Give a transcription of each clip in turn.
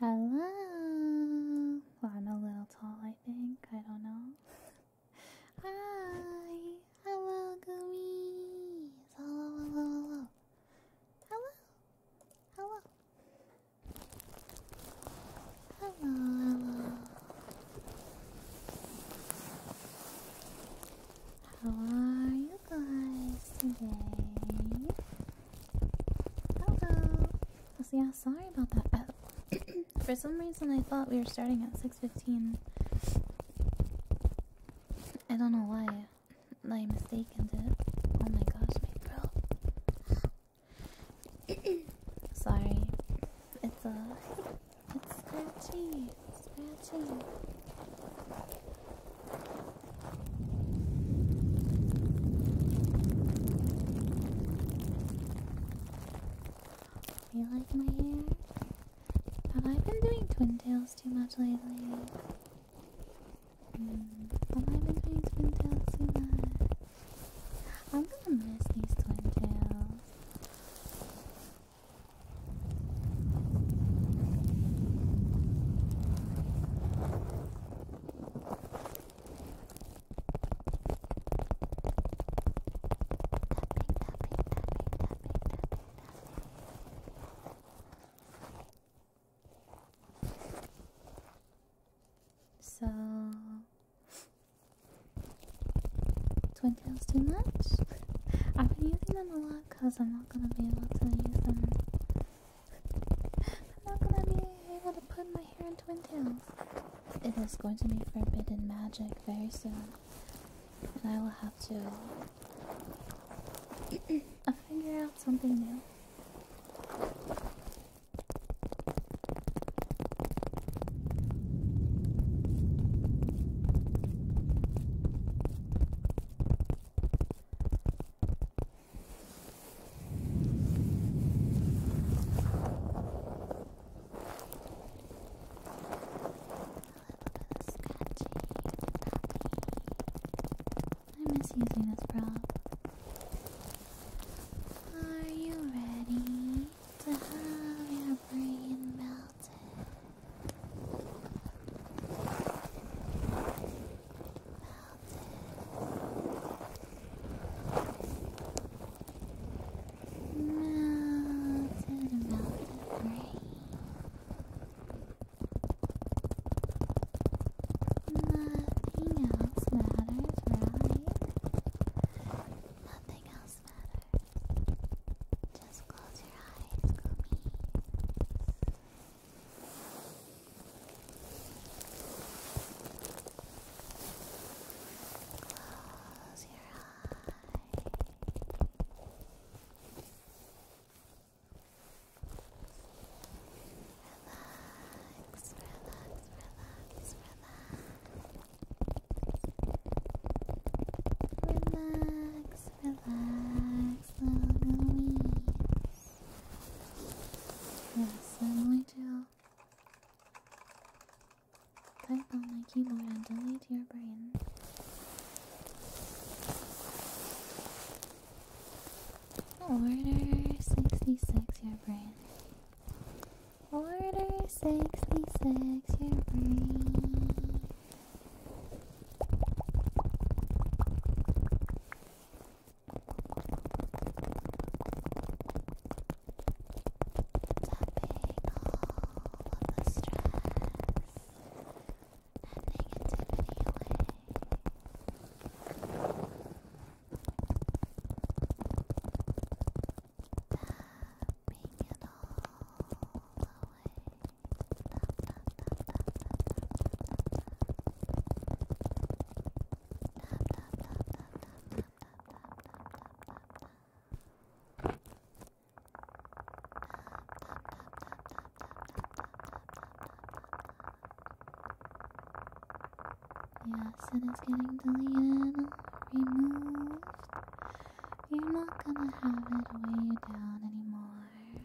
Hello. I'm a little tall, I think. I don't know. Hi. Hello, gummies. Hello, hello, hello. Hello. Hello. Hello, hello. How are you? guys today. Hello. yeah, oh, sorry about that. For some reason, I thought we were starting at six fifteen. I don't know why. I mistaken it. Oh my gosh, my sorry. It's a. Uh, it's scratchy. Scratchy. You like my hair? Have I been doing twin tails too much lately? Hmm, have I been doing twin tails too much? I'm gonna miss these twin tails. So, twin tails too much? I've been using them a lot because I'm not going to be able to use them how could I be able to put my hair in twin tails? It is going to be forbidden magic very soon. And I will have to figure out something new. I am using this prop. Are you ready to have your brain melted? Melted, melted rain. Nothing else matters, right? Nothing else matters. Just close your eyes, gummies. Close your eyes. Relax, relax, relax, relax. Relax, relax, little Yes, certainly do. Type on my keyboard and delete your brain. Order 66, your brain. Order 66, your brain the stress and negativity away. Tapping it all away. Yes, it is getting deleted, removed. You're not gonna have it weigh you down anymore.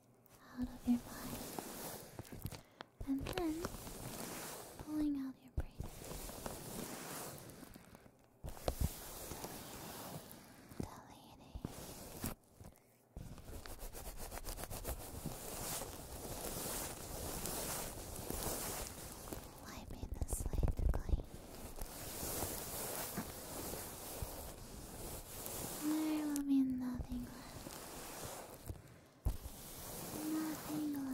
out of your mind, and then pulling out your breath. Deleting, Wiping the slate clean. There will be nothing left. Nothing left. Nothing will be left.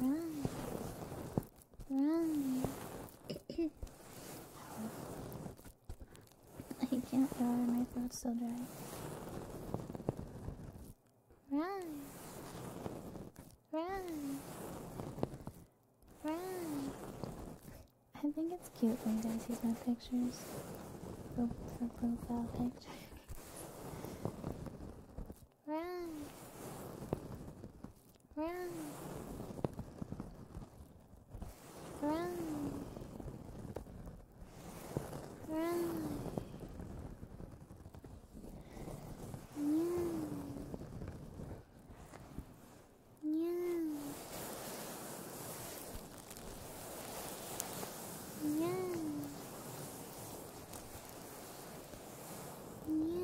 Run. Run. I can't run, my throat's so dry. Run. Run. I think it's cute when you guys use my pictures for, for profile picture. Run! Run! Run! Run! Yeah. Yeah. Yeah. Yeah.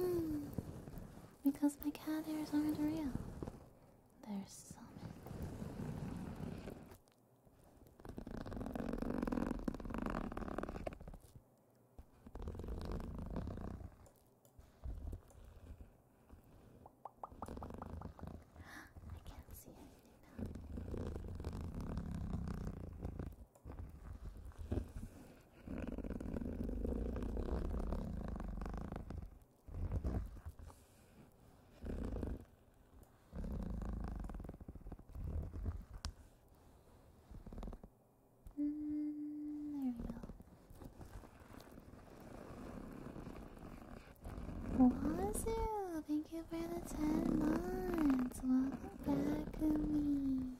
Because my cat ears aren't real. They're summoned. I can't see anything now. Mm, there we go. Wazoo, thank you for the 10 months. Welcome back, Umi.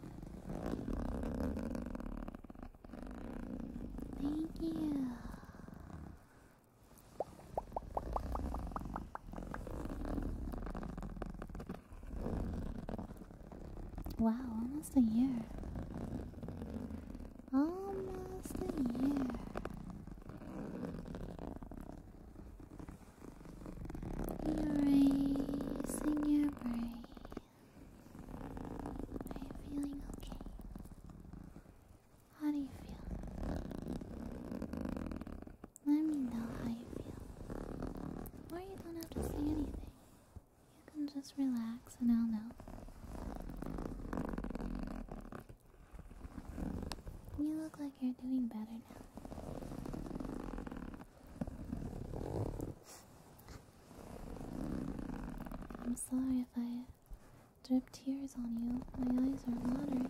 Thank you. Wow, almost a year. Almost a year. Erasing your brain. Are you feeling okay? How do you feel? Let me know how you feel. Or you don't have to say anything. You can just relax and I'll know. You look like you're doing better now. I'm sorry if I drip tears on you. My eyes are watering.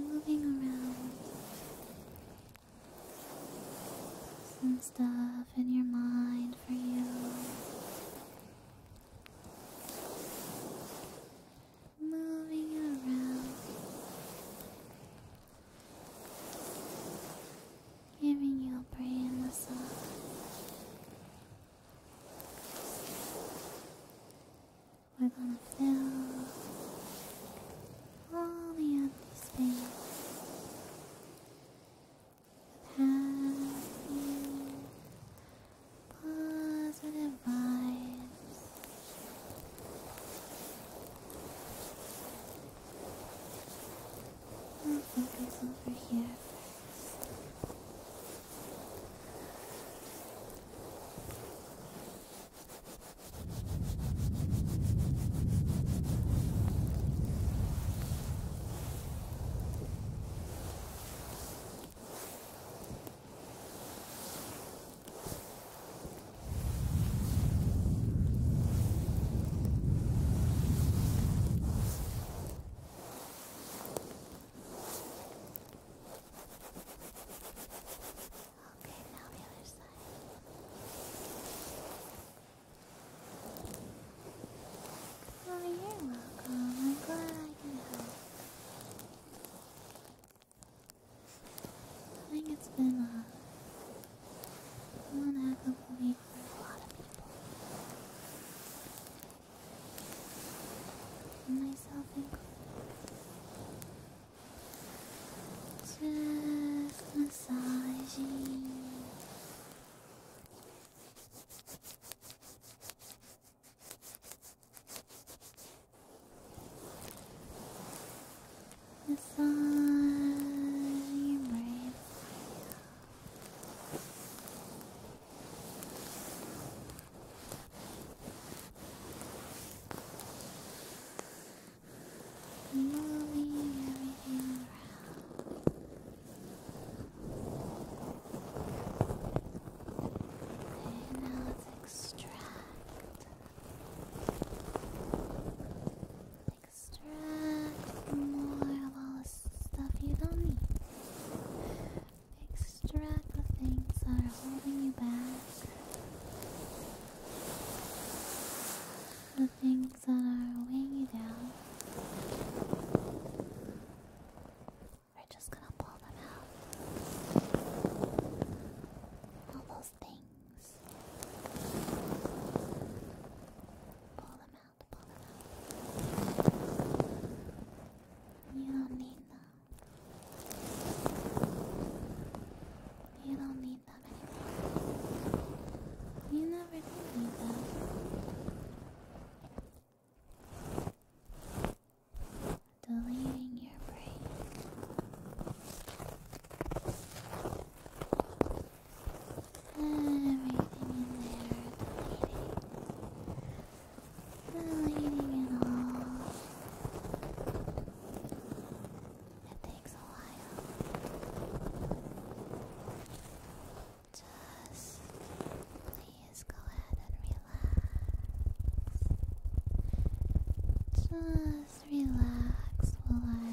Moving around some stuff in your mind for you. Moving around, giving your brain the sun. We're gonna fill all the empty space happy, positive vibes. I'll focus over here Okay, now the other side. Oh, you're welcome. I'm glad I can help. I think it's been uh, a one heck week for a lot of people. Myself included. Just massaging the your brain moving everything around. Okay, now let's extract. Extract more of all the stuff you don't need. Extract the things that are holding you back things that are weighing you down. We're just gonna pull them out. All those things. Pull them out, pull them out. You don't need them. You don't need you never did need that. Deleting your brain. Everything in there, deleting. Deleting it all. It takes just please go ahead and relax. Just relax while I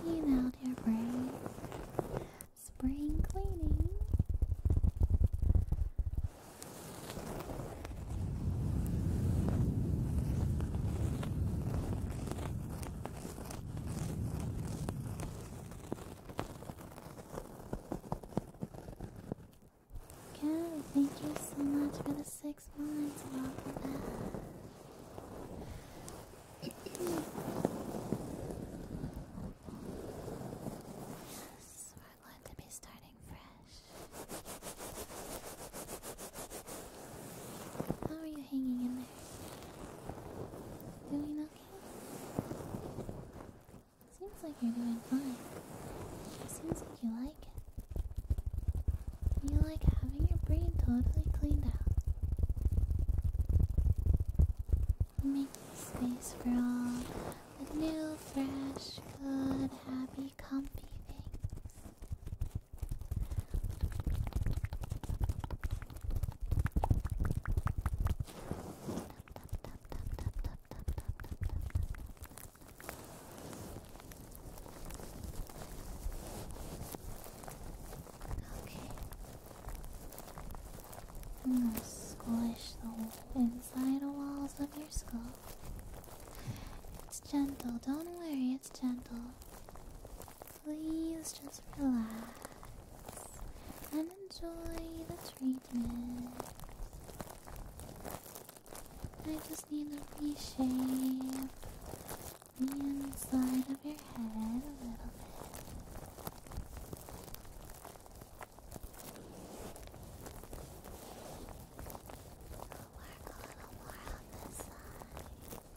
clean out your brain. Spring cleaning. Good, thank you so much for the six months. Welcome back. yes, we're going to be starting fresh. How are you hanging in Doing okay? Seems like you're doing fine. Seems like you like it. You like having your brain totally cleaned out. Making space for all the new, fresh, good, happy, comfy things. Okay. I'm hmm, squish the inside walls of your skull. It's gentle, don't worry, it's gentle please just relax and enjoy the treatment. I just need to reshape the inside of your head a little bit. I'll work a little more on this side.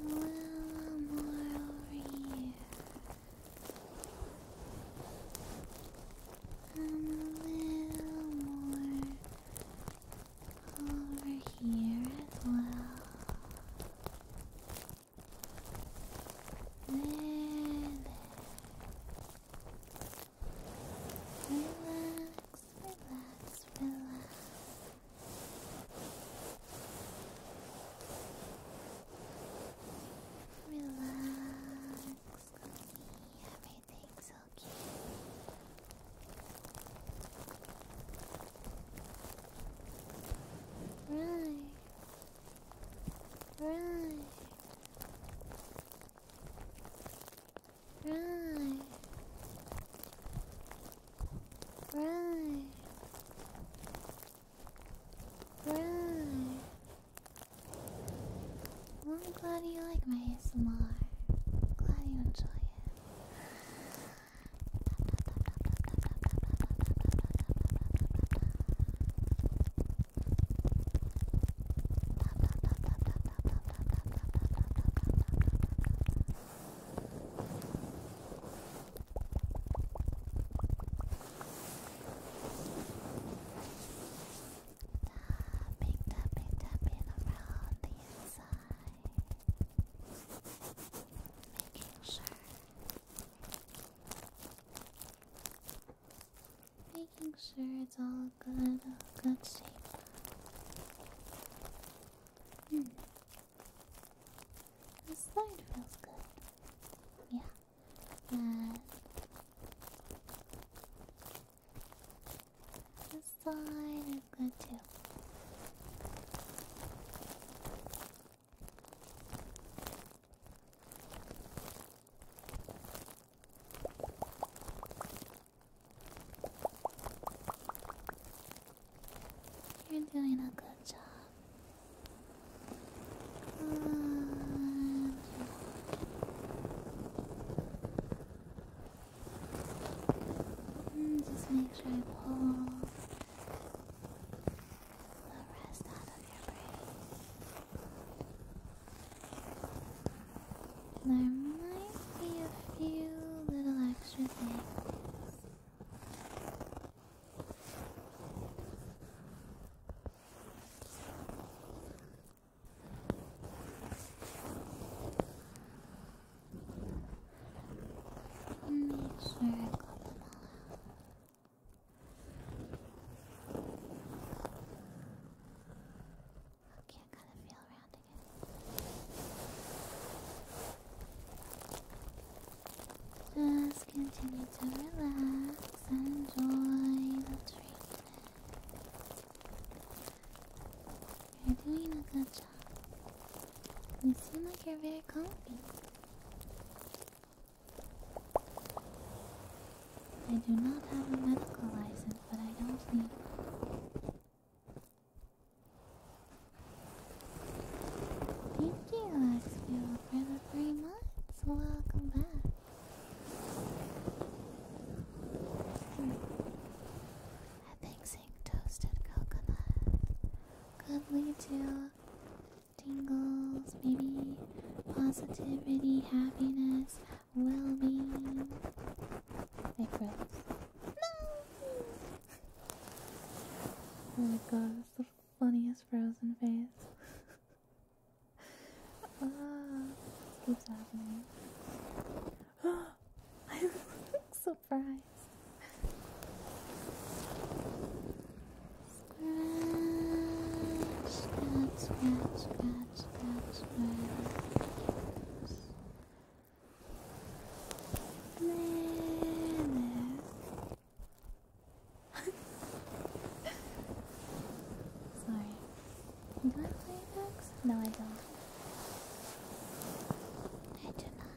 A little more over here. And a little more over here as well. There, Relax, relax, relax. Relax, Everything's okay. Right. Right. Right. Right. Right. I'm glad you like my S M R. Glad you enjoy it. Tapping, tapping, tapping around the inside, making sure, making sure it's all good, good shape. Hmm. This slide feels good. Yeah. And the slide is good too. You're doing a good job. just make sure I pull the rest out of your brain. There might be a few little extra things Make sure I got them all out. Okay, I gotta feel around again. Just continue to relax and enjoy the treatment. You're doing a good job. You seem like you're very comfy. I do not have a medical license, but I don't need one. Thank you, Axel, for the three months. Welcome back. Hmm. Mixing toasted coconut could lead to tingles, maybe positivity, happiness, well-being. It No! Oh my god, it's the funniest frozen face. Ah, keeps happening. I'm surprised. Sorry. Do I play dogs? No, I don't. I do not.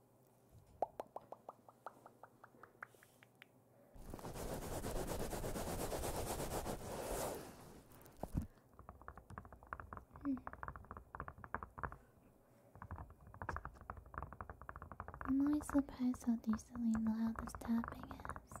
Hmm. I'm always surprised how decently loud this tapping is.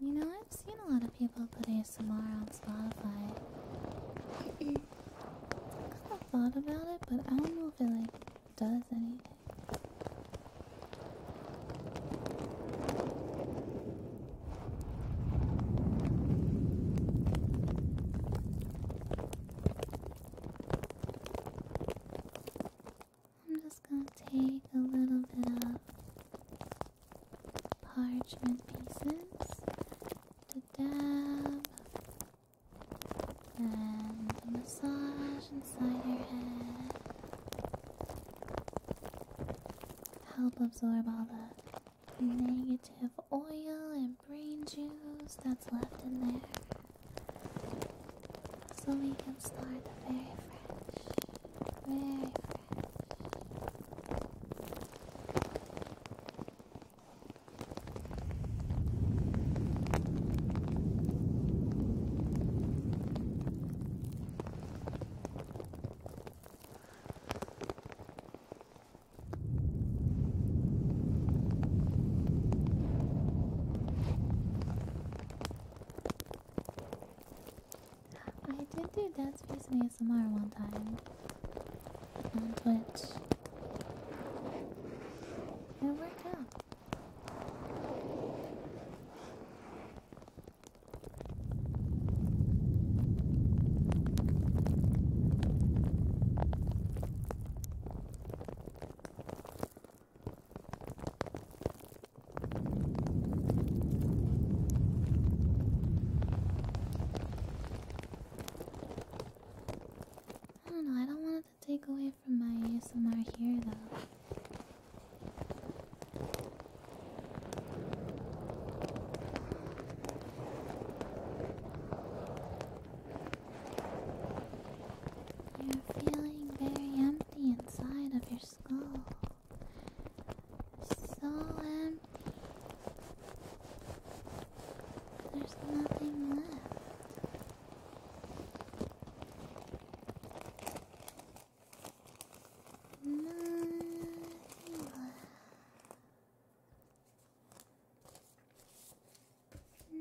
You know, I've seen a lot of people put ASMR on Spotify. I kind thought about it, but I don't know if it like does anything. I'm just going to take a little bit of parchment pieces to dab and massage inside your head. Help absorb all the negative oil and brain juice that's left in there. So we can start very fresh. Very fresh. I did do dance face and ASMR one time on um, Twitch. It worked out. I don't know, I don't want it to take away from my ASMR here though. You're feeling very empty inside of yourself skull. So empty. There's nothing left. Nothing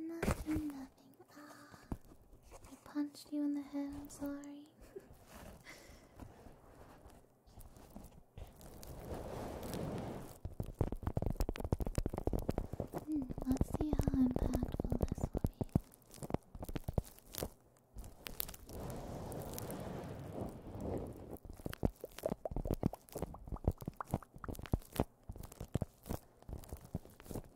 Nothing left. Ah, I punched you in the head, I'm sorry. Hmm, let's see how impactful this will be.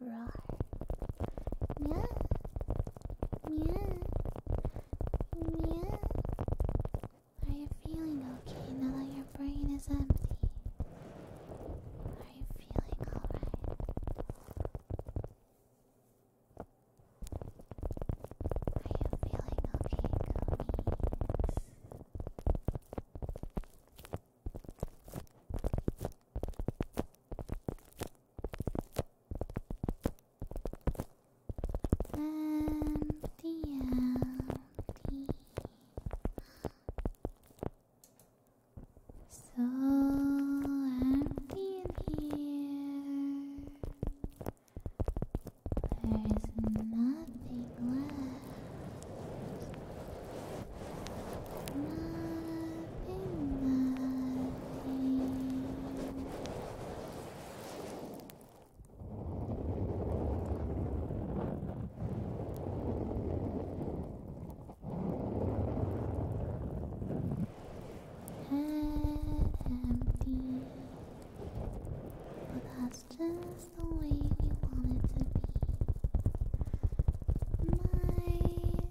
roar. Meow, meow, meow. Are you feeling okay now that your brain is empty? Are you feeling alright? Are you feeling okay, gummies? empty. So empty here. There is nothing left. Nothing, nothing. Head empty. But that's just the way we want to be. My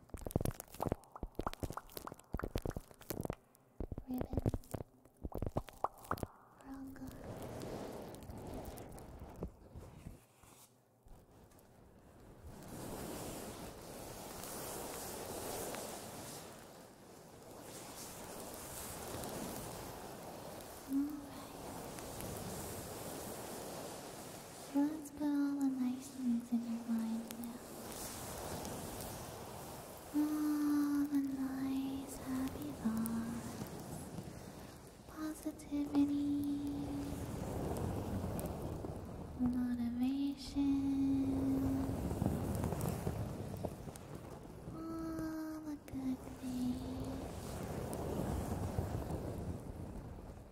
ribbon, we're let's put all the nice things in your mind now. All the nice happy thoughts, positivity, motivation, all the good things.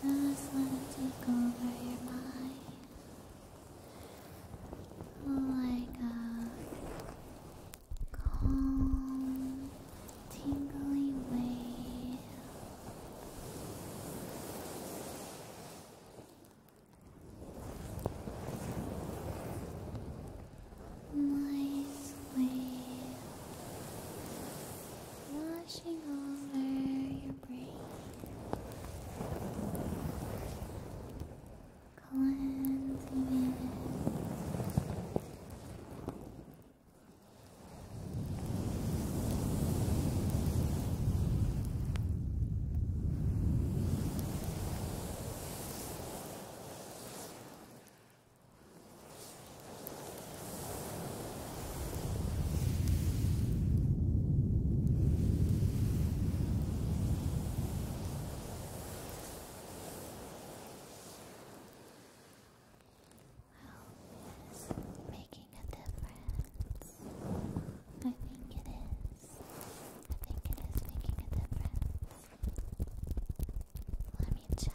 Just let it take over your mind like a calm, tingly wave. Nice wave washing over your breathe. Cleansing is making a difference. I think it is. I think it is making a difference. Let me check.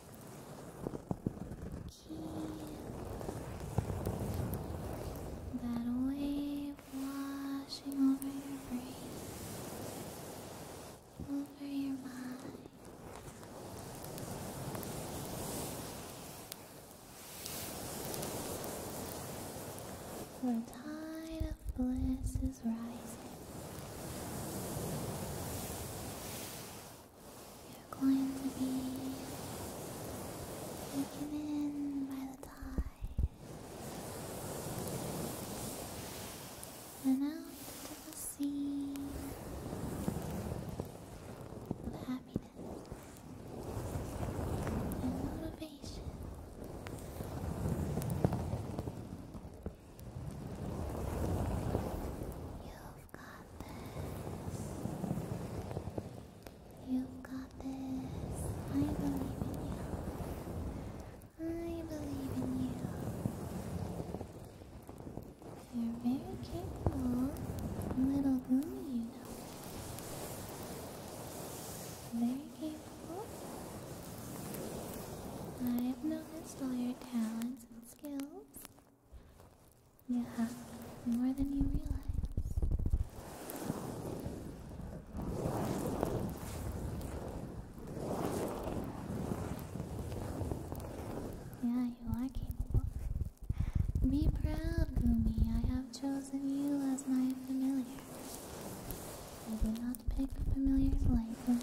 Okay. That wave washing over your brain, over your mind. The tide of bliss is rising. You're going to be taken in by the tide and out into the sea of happiness and motivation. You've got this. You've got this. I believe in you. I believe in you. You're very capable, little girl, you know. Very capable. I've noticed all your talents skills. You have more than you realize. Yeah, you are capable. Be proud, Gumi. I have chosen you as my familiar. I did not pick familiars lightly.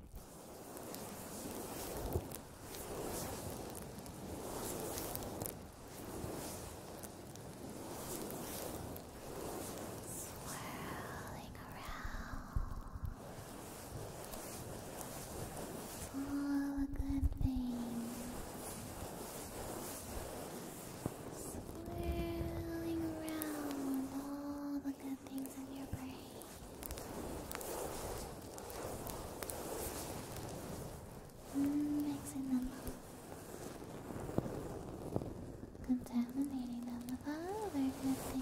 Swirling around all the good things. Swirling around all the good things in your brain. Mm, mixing them up. Contaminating them with other good things.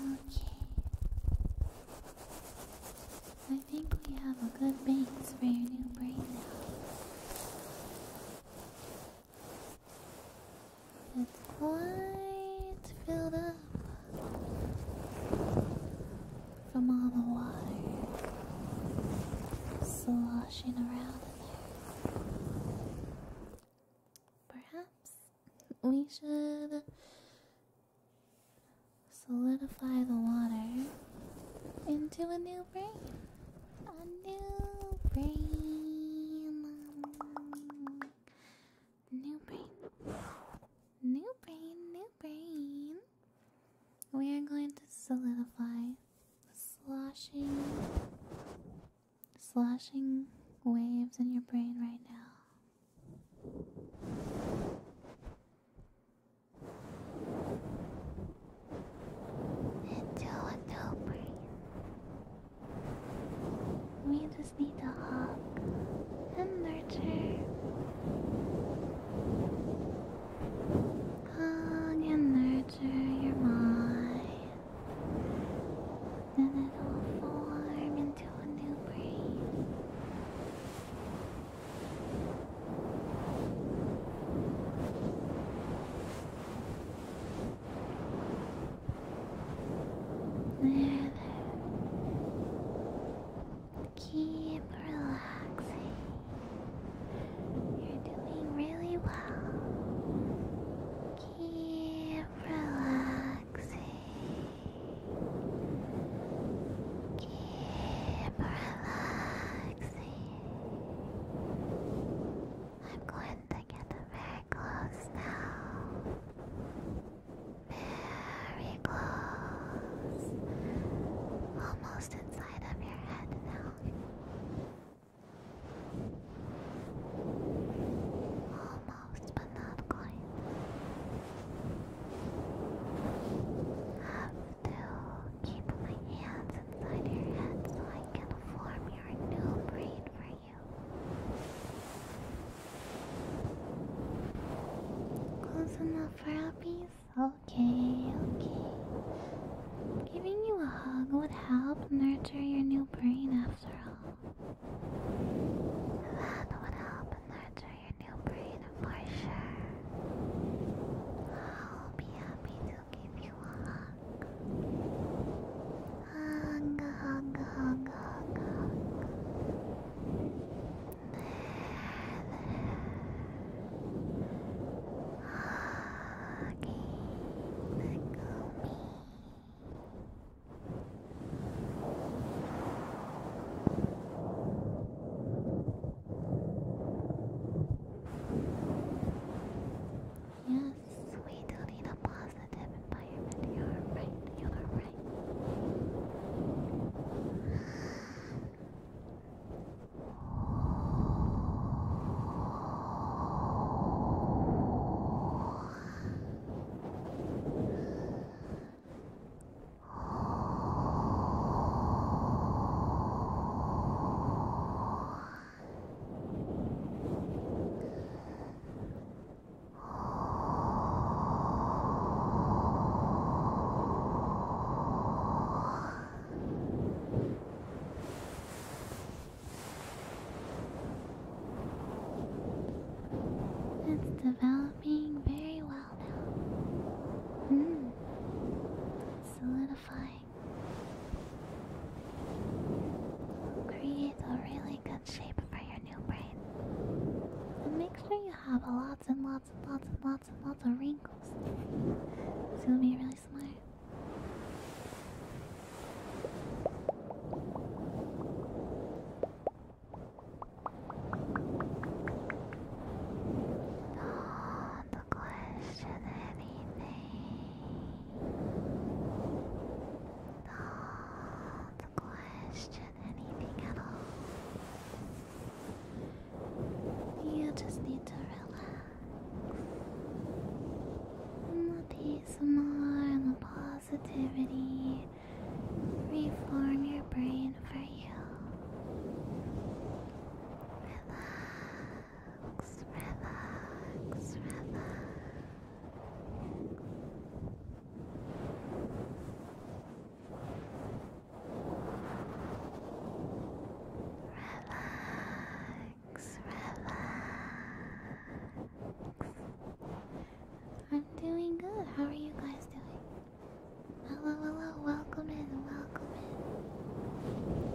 Okay. I think we have a good base for your new brain now. It's quite filled up from all the water sloshing around in there. Perhaps we should solidify the water into a new brain. A new brain. New brain. New brain, new brain. We are going to solidify the sloshing, sloshing waves in your brain right now. Into a new brain. We just need to hug and nurture. Hug and nurture your mind. Then it will form into a new brain. Keep relaxing. You're doing really well. Keep relaxing. Keep relaxing. I'm going to get very close now. Very close. Almost inside of your head now. Almost, but not quite. Have to keep my hands inside your head so I can form your new brain for Close enough for uppies? Okay, okay. Giving you a hug would help nurture your new brain after all. That would help nurture your new brain for sure. I'll be happy to give you a hug. Hug, hug, hug, hug, hug. There, Hugging the Yes, we do need a positive environment. You are right. You are right. It's developing very well now. Mm. Solidified. Create a really good shape for your new brain. And make sure you have lots and lots and lots and lots and lots of wrinkles. It's gonna be really smart. Don't question anything. Don't question anything at all. You just need to relax. the peace of mind the positivity reform your brain for you. Relax relax, relax, relax. Relax, relax. I'm doing good. How are you guys doing? Hello, hello. Welcome in. Welcome in.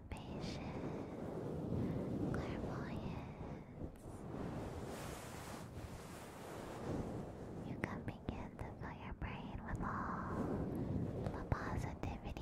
Patience, clairvoyance. You can begin to fill your brain with all the positivity.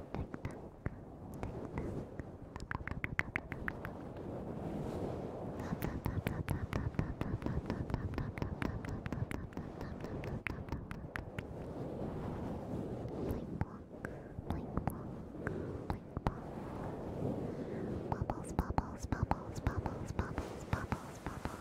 Bubbles, bubbles, bubbles, bubbles, bubbles, bubbles, bubbles.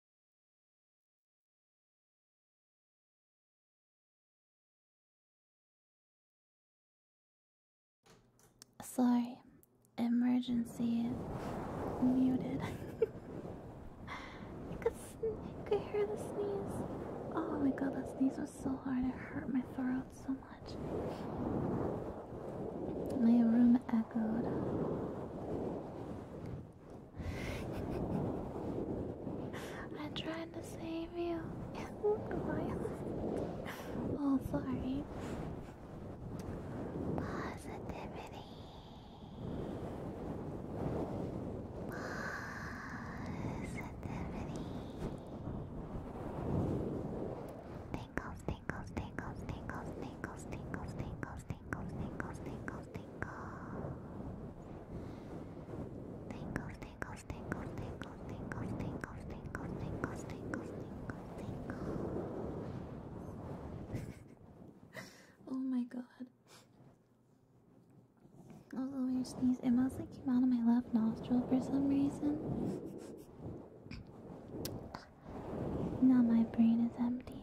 Sorry, emergency muted. You could, could hear the sneeze. Oh my god, that sneeze was so hard. It hurt my throat so much. My room echoed. I tried to save you. oh, sorry. Positivity. Positivity. Tingles, tingles, tingles, tingles, tingles, tingles, tingles, tingles, tingles, tingles, tingles, tingles. Tingles, tingles, tingles, tingles, tingles, tingles, tingles, tingles, tingles, Oh my god. That was a weird sneeze. It mostly came out of my left nostril for some reason. Now my brain is empty.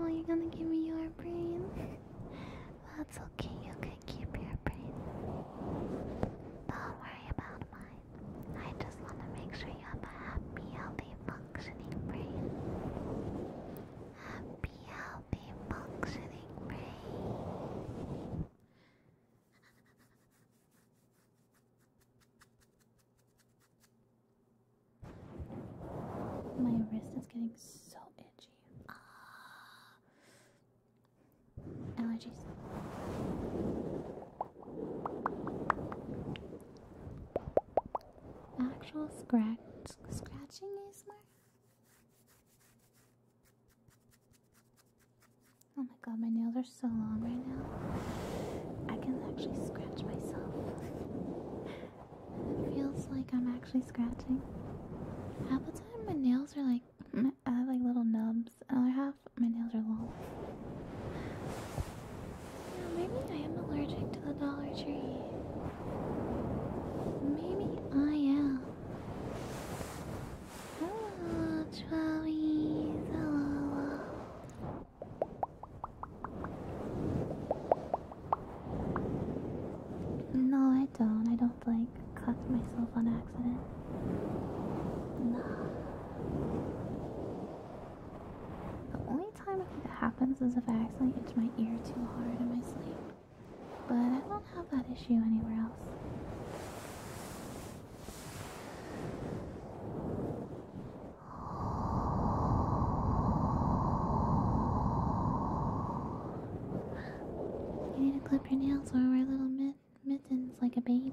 Oh, you're gonna give me your brain. That's okay, you can keep your brain. Don't worry about mine. I just want to make sure you have a happy, healthy, functioning brain. Happy, healthy, functioning brain. My wrist is getting so itchy. Ah. Allergies. Actual scratch scratching is more. Oh my god, my nails are so long right now. I can actually scratch myself. it feels like I'm actually scratching. Half the time, my nails are like I have like little nubs. Another half, my nails are long. maybe I am allergic to the Dollar Tree. Maybe I am. No, I don't. I don't like cut myself on accident. No. The only time I think that happens is if I accidentally itch my ear too hard in my sleep. But I don't have that issue anywhere else. You need to clip your nails or wear little mitt mittens like a baby.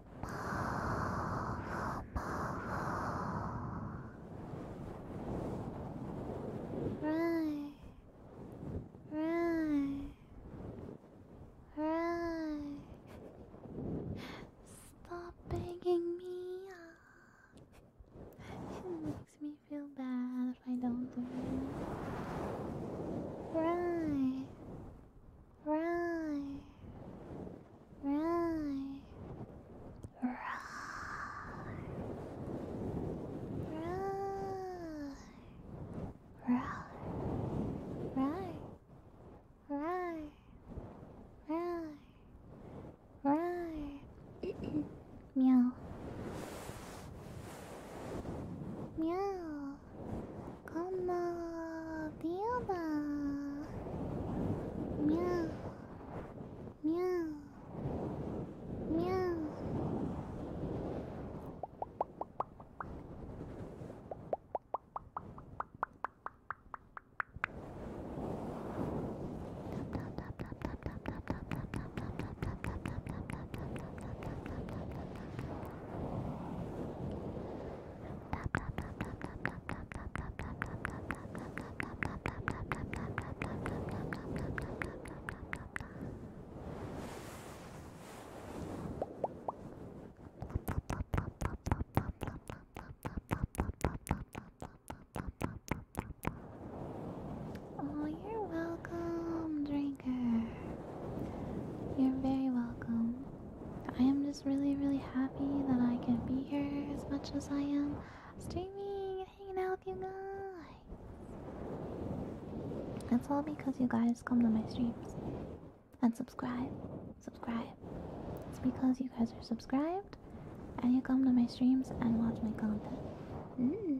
Right, right, right. Stop begging me. It makes me feel bad if I don't do it. Right, Right. Right. Right. Right. Right. Right. Right. Right. Right. Meow. Meow. こんばんはビューバーみゃみゃみゃ Oh, you're welcome, drinker. You're very welcome. I am just really, really happy that I can be here as much as I am streaming and hanging out with you guys. That's all because you guys come to my streams and subscribe. Subscribe. It's because you guys are subscribed and you come to my streams and watch my content. Mm.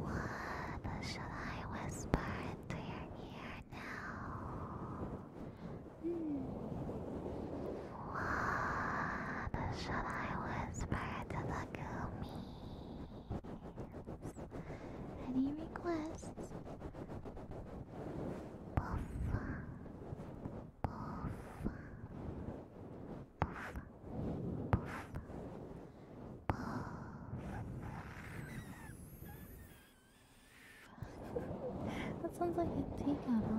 What shall I whisper into your ear now? What shall I whisper to the gummies? Any requests? Poof. Poof. Poof. Poof that sounds like a tea kettle.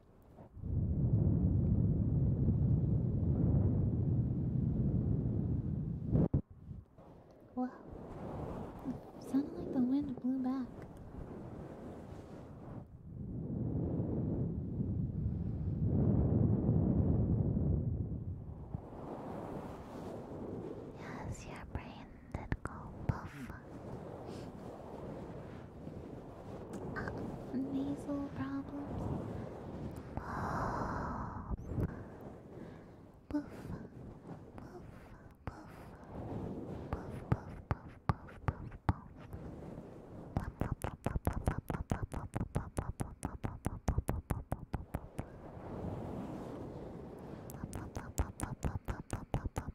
Wow. It like the wind blew back. Yes, your brain did go poof. Uh, nasal problems. Puff, puff, puff, puff, puff, puff,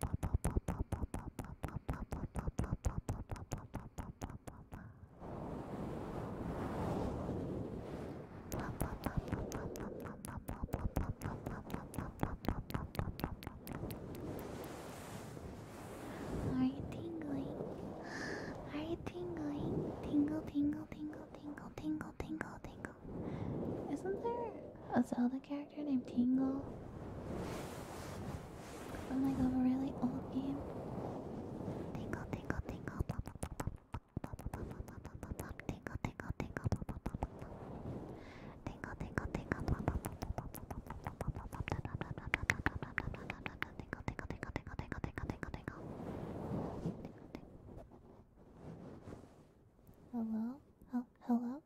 puff, puff, puff. Are you tingling? Are you tingling? Tingle, tingle, tingle, tingle, tingle, tingle, tingle. Isn't there a Zelda character? character named Tingle from like a really old game. Tingle, tingle, tingle, pop, pop, pop, pop, pop, pop, pop, pop, tingle, tingle, tingle, tingle, tingle, tingle, tingle, tingle, tingle, tingle, tingle, tingle, tingle, tingle, Hello?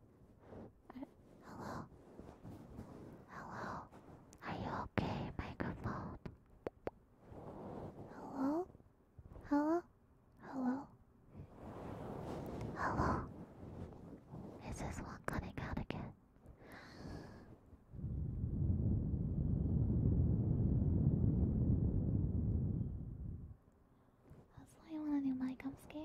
Hello? Hello? Are you okay, microphone? Hello? Hello? Hello? Hello? Is this one cutting out again? That's why I want a new mic. I'm scared.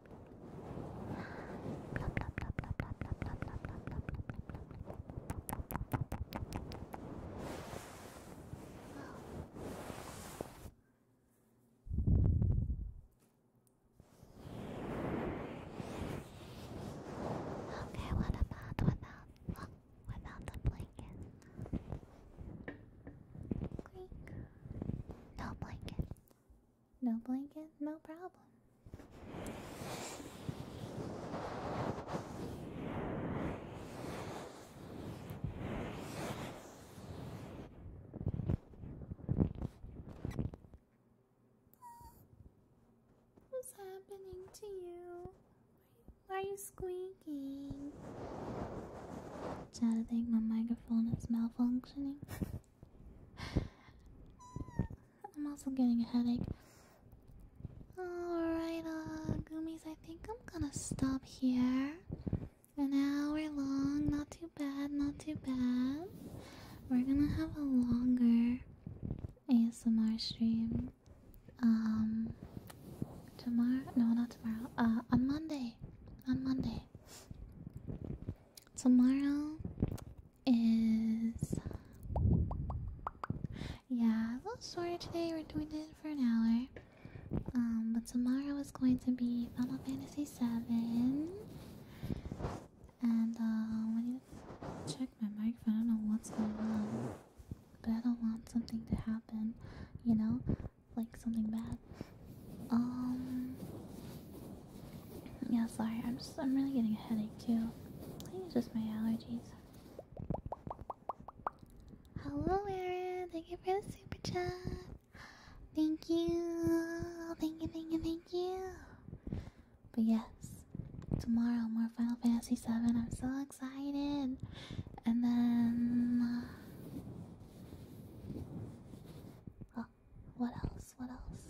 Okay, what about what about the blanket? No blanket. No blanket, no problem. What's happening to you? Why are you squeaking? Chad, I think my microphone is malfunctioning. I'm also getting a headache. Alright, uh, I think I'm gonna stop here. An hour long, not too bad, not too bad. We're gonna have a longer ASMR stream. Um, tomorrow? No, not tomorrow. Uh, on Monday. On Monday. Tomorrow, is yeah, a little shorter today. We're doing it for an hour. Um, but tomorrow is going to be Final Fantasy VII, and um, I need to check my microphone. I don't know what's going on, but I don't want something to happen. You know, like something bad. Um, yeah, sorry. I'm just. I'm really getting a headache too. I think it's just my allergies. Hello, Aaron. Thank you for the super chat. Thank you. Thank you. Thank you. Thank you. But yes, tomorrow more Final Fantasy VII. I'm so excited. And then. Uh, oh, what else? What else?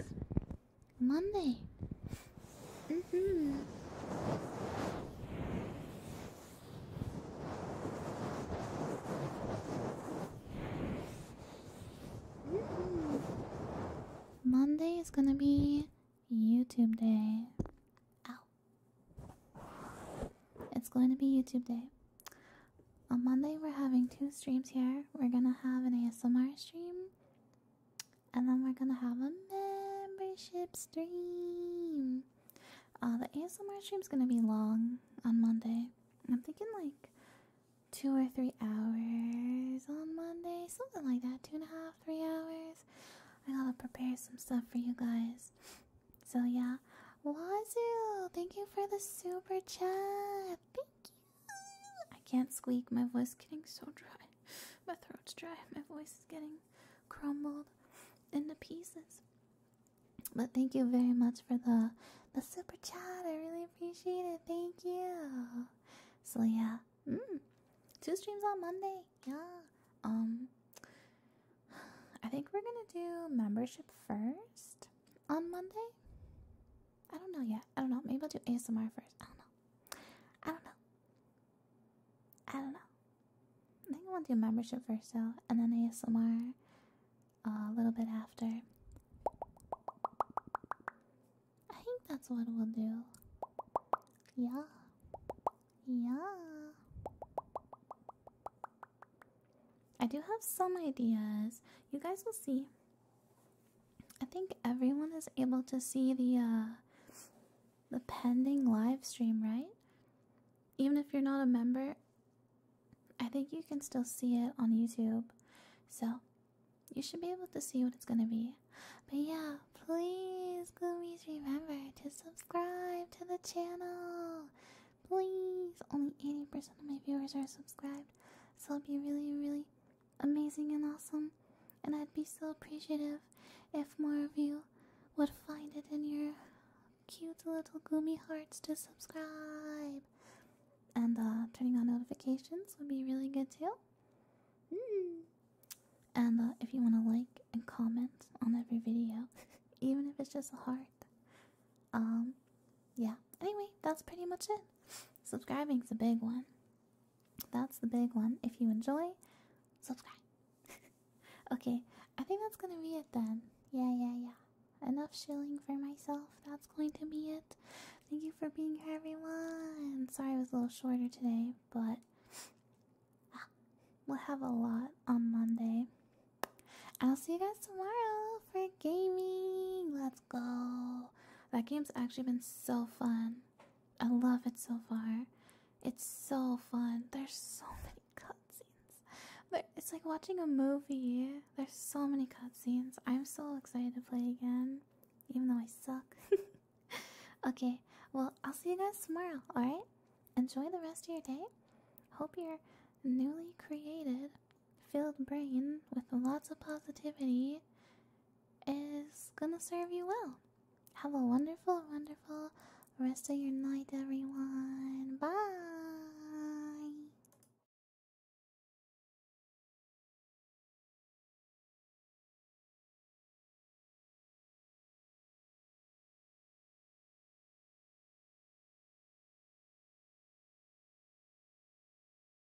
Monday. hmm. Monday is gonna be YouTube day. Ow. It's going to be YouTube day. On Monday, we're having two streams here. We're gonna have an ASMR stream and then we're gonna have a membership stream. Uh, the ASMR is gonna be long on Monday. I'm thinking like two or three hours on Monday, something like that. Two and a half, three hours. I gotta prepare some stuff for you guys. So yeah, Wazoo, thank you for the super chat. Thank you. I can't squeak. My voice is getting so dry. My throat's dry. My voice is getting crumbled into pieces. But thank you very much for the the super chat. I really appreciate it. Thank you. So yeah, mm. two streams on Monday. Yeah. Um, I think we're gonna do membership first on Monday. I don't know yet. I don't know. Maybe I'll do ASMR first. I don't know. I don't know. I don't know. I think I want to do membership first though, and then ASMR uh, a little bit after. I think that's what we'll do. Yeah. Yeah. I do have some ideas. You guys will see. I think everyone is able to see the uh, the pending live stream, right? Even if you're not a member, I think you can still see it on YouTube. So you should be able to see what it's gonna be. But yeah, please, Gloomies, remember to subscribe to the channel. Please, only 80% of my viewers are subscribed, so it'd be really, really, amazing and awesome, and I'd be so appreciative if more of you would find it in your cute little gloomy hearts to subscribe. And uh, turning on notifications would be really good too. Mm. And uh, if you want to like and comment on every video, even if it's just a heart, um, yeah, anyway, that's pretty much it. Subscribing's a big one. That's the big one. If you enjoy, subscribe. okay, I think that's gonna be it then. Yeah, yeah, yeah. Enough shilling for myself. That's going to be it. Thank you for being here, everyone. Sorry it was a little shorter today, but ah, we'll have a lot on Monday. I'll see you guys tomorrow for gaming. Let's go. That game's actually been so fun. I love it so far. It's so fun. There's so many cutscenes. it's like watching a movie. There's so many cutscenes. I'm so excited to play again, even though I suck. okay, well, I'll see you guys tomorrow, alright? Enjoy the rest of your day. Hope you're newly created filled brain with lots of positivity is gonna serve you well. Have a wonderful, wonderful rest of your night, everyone. Bye.